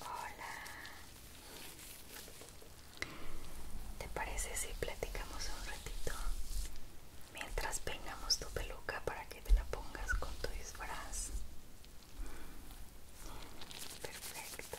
Hola. ¿Te parece si platicamos un ratito? Mientras peinamos tu peluca para que te la pongas con tu disfraz. Perfecto.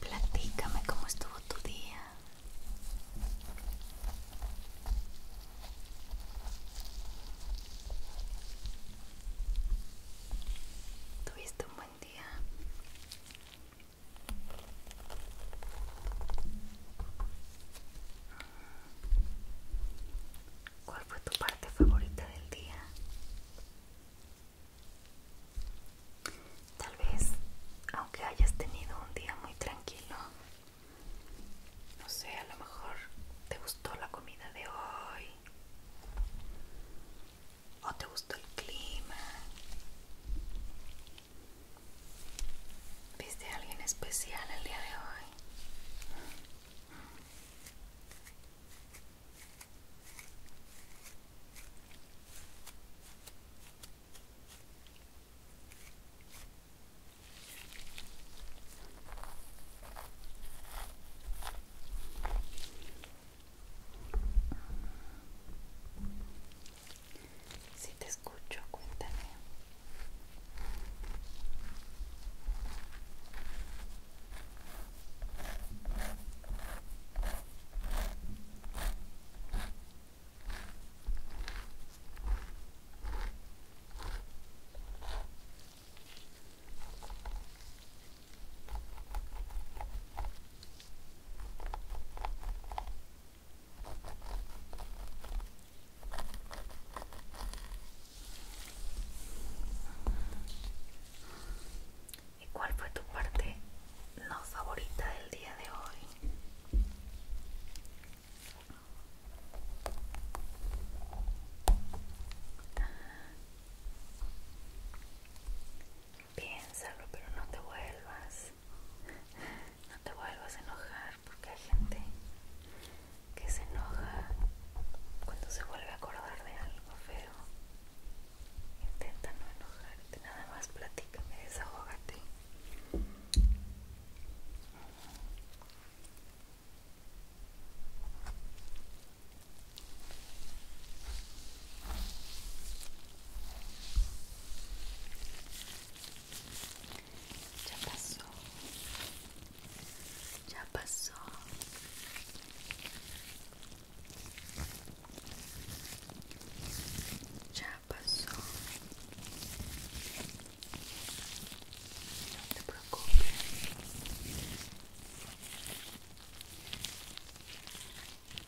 Platícame cómo estuvo tu día. ¿Tuviste un buen día? ¿Cuál fue tu parte favorita del día? Tal vez, aunque hayas tenido un día muy tranquilo, no sé, a lo mejor te gustó la comida de hoy, o te gustó el clima, ¿Viste a alguien especial el día de hoy? Si te escucho, cuéntame. ¿Y cuál fue tu parte no favorita del día de hoy? Piénsalo, pero no te vuelvas no te vuelvas a enojar porque hay gente que se enoja cuando se vuelve a acordar de algo feo. Intenta no enojarte, nada más platícame, desahógate. Já passou. Já passou. Já passou. Não te preocupe.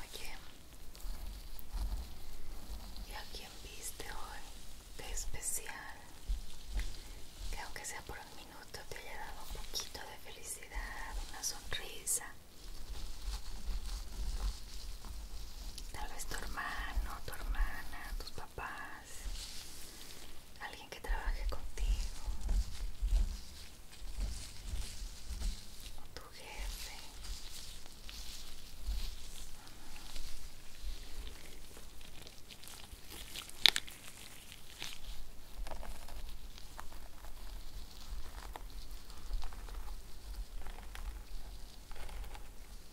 Oye, ¿y a quién viste hoy de especial? Que aunque sea por un minuto te haya dado un poquito de felicidad, una sonrisa. Tal vez tu hermano, tu hermana, tus papás, alguien que trabaje contigo, tu jefe.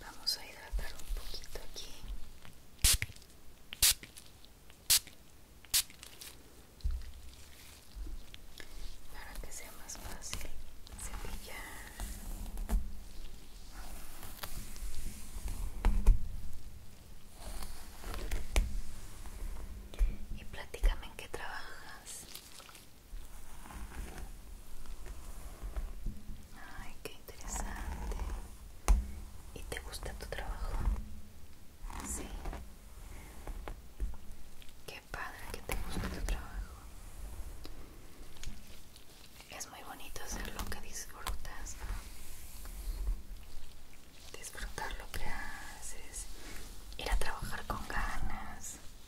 Vamos a hidratar un poquito aquí. Para que sea más fácil cepillar. Y platícame en qué trabajas. Ay, qué interesante. ¿Y te gusta tu trabajo? Sí. Qué padre que te gusta tu trabajo. Es muy bonito hacer lo que disfrutas. Disfrutar lo que haces. Ir a trabajar con ganas.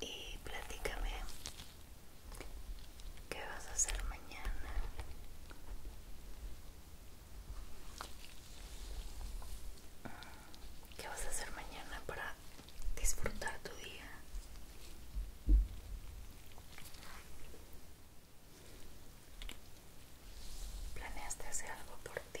Y platícame, ¿qué vas a hacer mañana? ¿Qué vas a hacer mañana para disfrutar tu día? ¿Planeaste hacer algo por ti?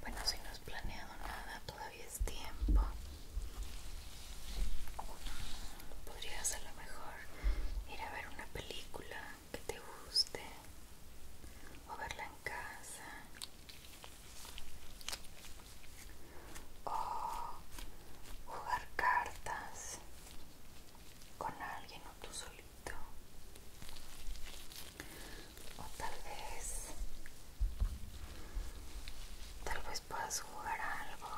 Bueno, si no has planeado nada, todavía es tiempo. Podrías a lo mejor ir a ver una película que te guste o verla en casa. O jugar cartas con alguien o tú solito o tal vez tal vez puedas jugar algo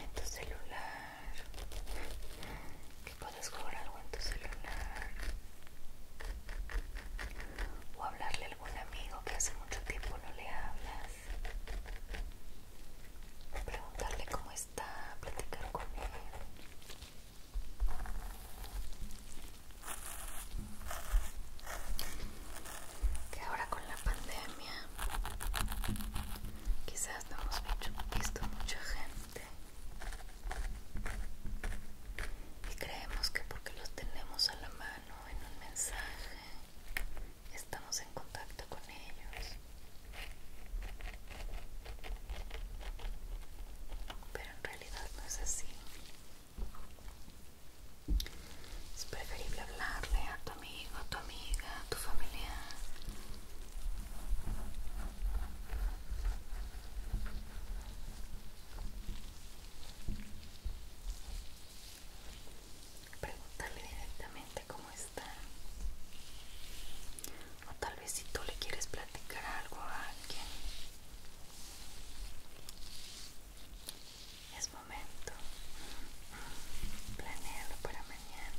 en tu celular que puedas jugar algo en tu celular o hablarle un amigo que hace mucho tiempo no le hablas, preguntarle cómo está, platicar con él. Que ahora con la pandemia quizás no hemos visto mucha gente y creemos que porque los tenemos a la mano en un mensaje. Estamos en contacto con ellos. Pero en realidad no es así. Es preferible hablarle a tu amigo, a tu amiga, a tu familia Pregúntale directamente cómo está. O tal vez si tú le quieres platicar algo a alguien. Es momento. Planealo para mañana.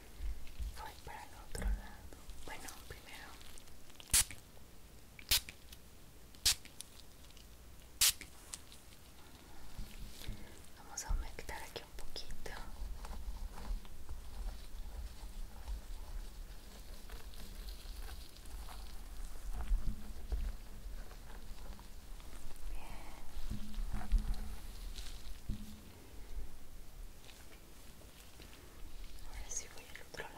voy para el otro lado bueno primero vamos a humectar aquí un poquito Bien. Ahora si voy al otro lado.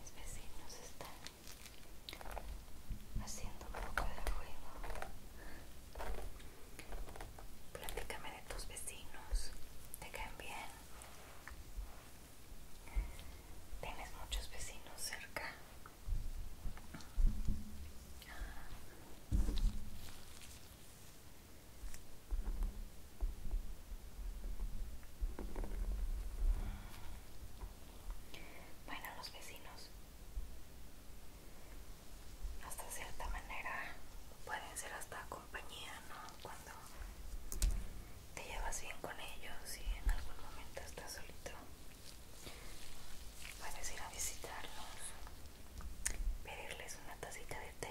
Mis vecinos están haciendo un poco de juego Platícame de tus vecinos. ¿Te caen bien? ¿Tienes muchos vecinos cerca? Bueno, los vecinos hasta cierta manera pueden ser hasta compañía, ¿no? Cuando te llevas bien con ellos y en algún momento estás solito, puedes ir a visitarlos, pedirles una tacita de té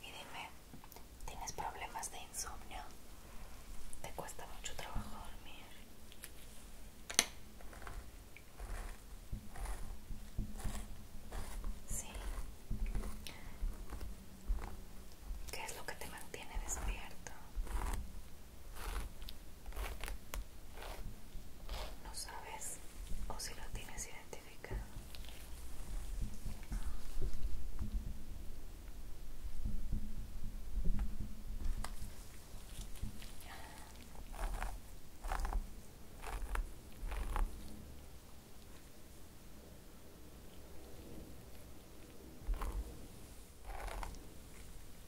Y dime, ¿tienes problemas de insomnio? ¿Te cuesta mucho trabajo dormir? Sí. ¿Qué es lo que te mantiene despierto? No sabes o si lo tienes identificado.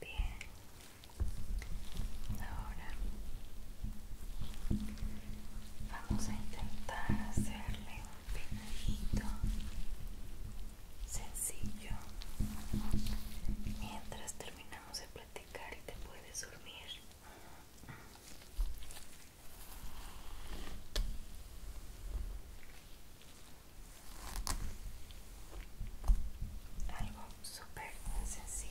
Bien, ahora vamos a intentar hacerle sencillo. Mientras terminamos de platicar y te puedes dormir. Algo súper sencillo.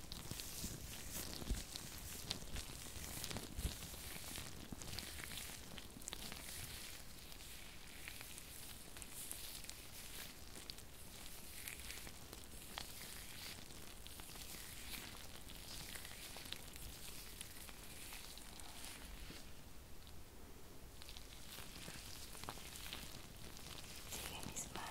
Sigue mis manos.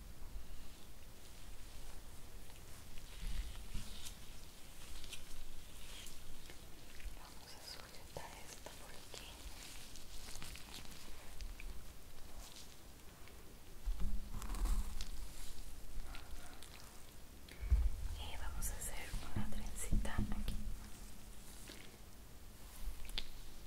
Vamos a sujetar esta por aquí. Y vamos a hacer una trencita aquí.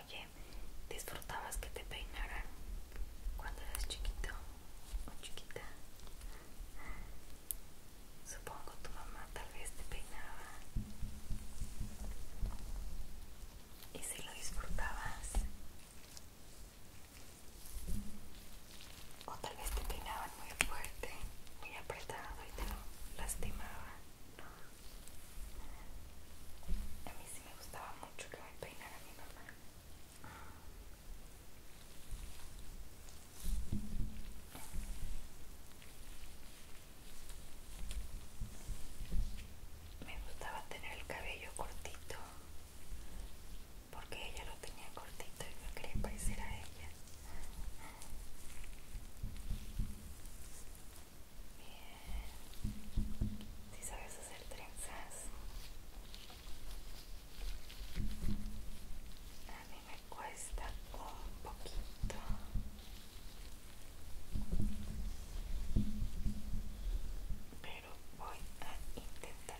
Oye, ¿disfrutabas que te peinaran cuando eras chiquito o chiquita? Supongo tu mamá tal vez te peinaba. ¿Y si lo disfrutabas? O tal vez te peinaban muy fuerte, muy apretado y te lo lastimaban. A mí sí me gustaba mucho que me peinara mi mamá. Me gustaba tener el cabello cortito porque ella lo tenía cortito y me quería parecer a ella. Si sabes hacer trenzas. A mí me cuesta un poquito. Pero voy a intentar.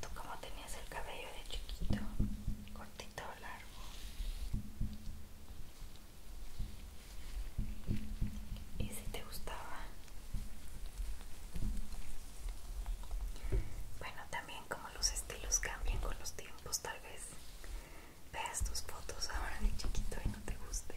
¿Tú como tenías el cabello de chiquito? ¿Cortito o largo? ¿Y si te gustaba? Bueno, también como los estilos cambian con los tiempos, tal vez veas tus fotos ahora de chiquito y no te gusten.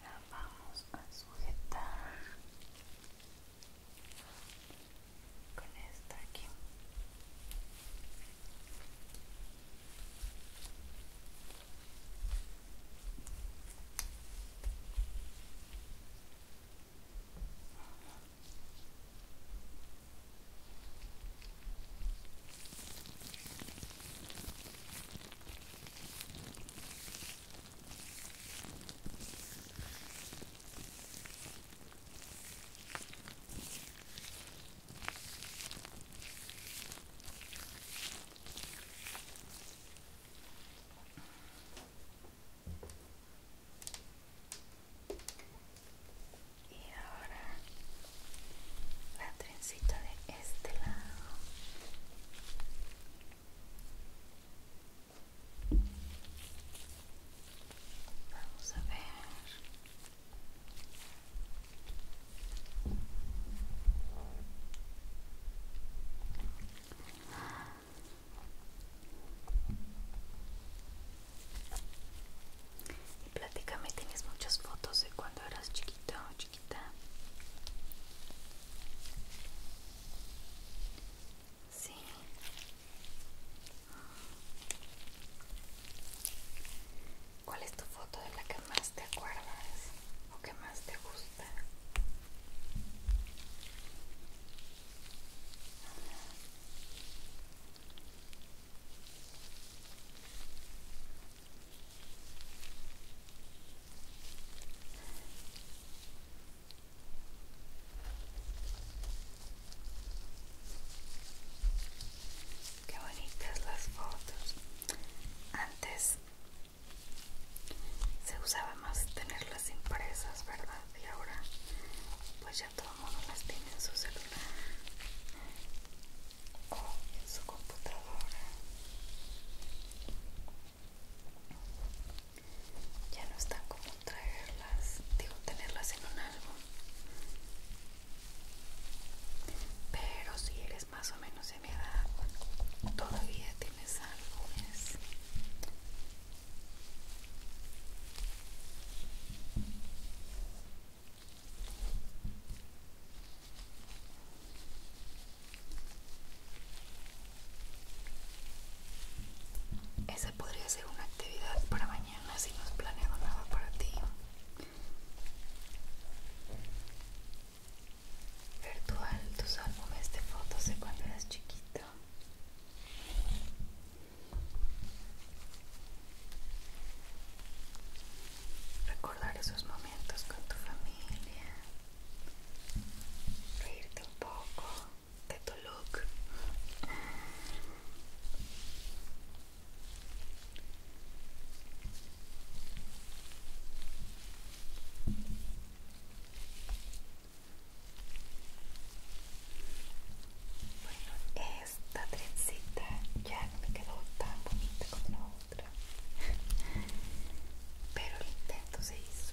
La vamos a sujetar con esta aquí y ahora la trencita de este lado. Vamos a ver. Y platícame, ¿tienes muchas fotos de cuando eras chiquito o chiquita? Sí. ¿Cuál es tu foto de la que más te acuerdas o que más te gusta? Qué bonitas las fotos. Antes se usaba más tenerlas impresas, ¿verdad? Y ahora pues ya todo el mundo las tiene en su celular o en su computadora ya no es como traerlas, digo tenerlas en un álbum. Pero si eres más o menos de mi edad, todavía tienes álbumes. Esa podría ser una actividad para mañana si no has planeado nada para ti. Virtual tus álbumes de fotos de cuando eras chiquito. Recordar esos momentos con tu familia. Reírte un poco de look bueno, esta trencita ya no me quedó tan bonita como la otra pero el intento se hizo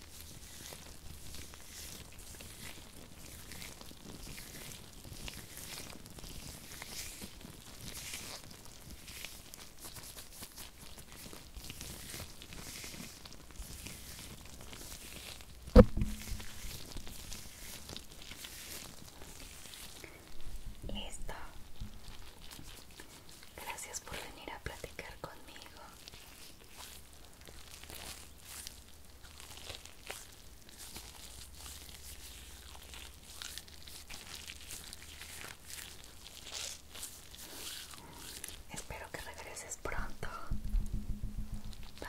Listo. Gracias por venir a platicar conmigo. Espero que regreses pronto. Bye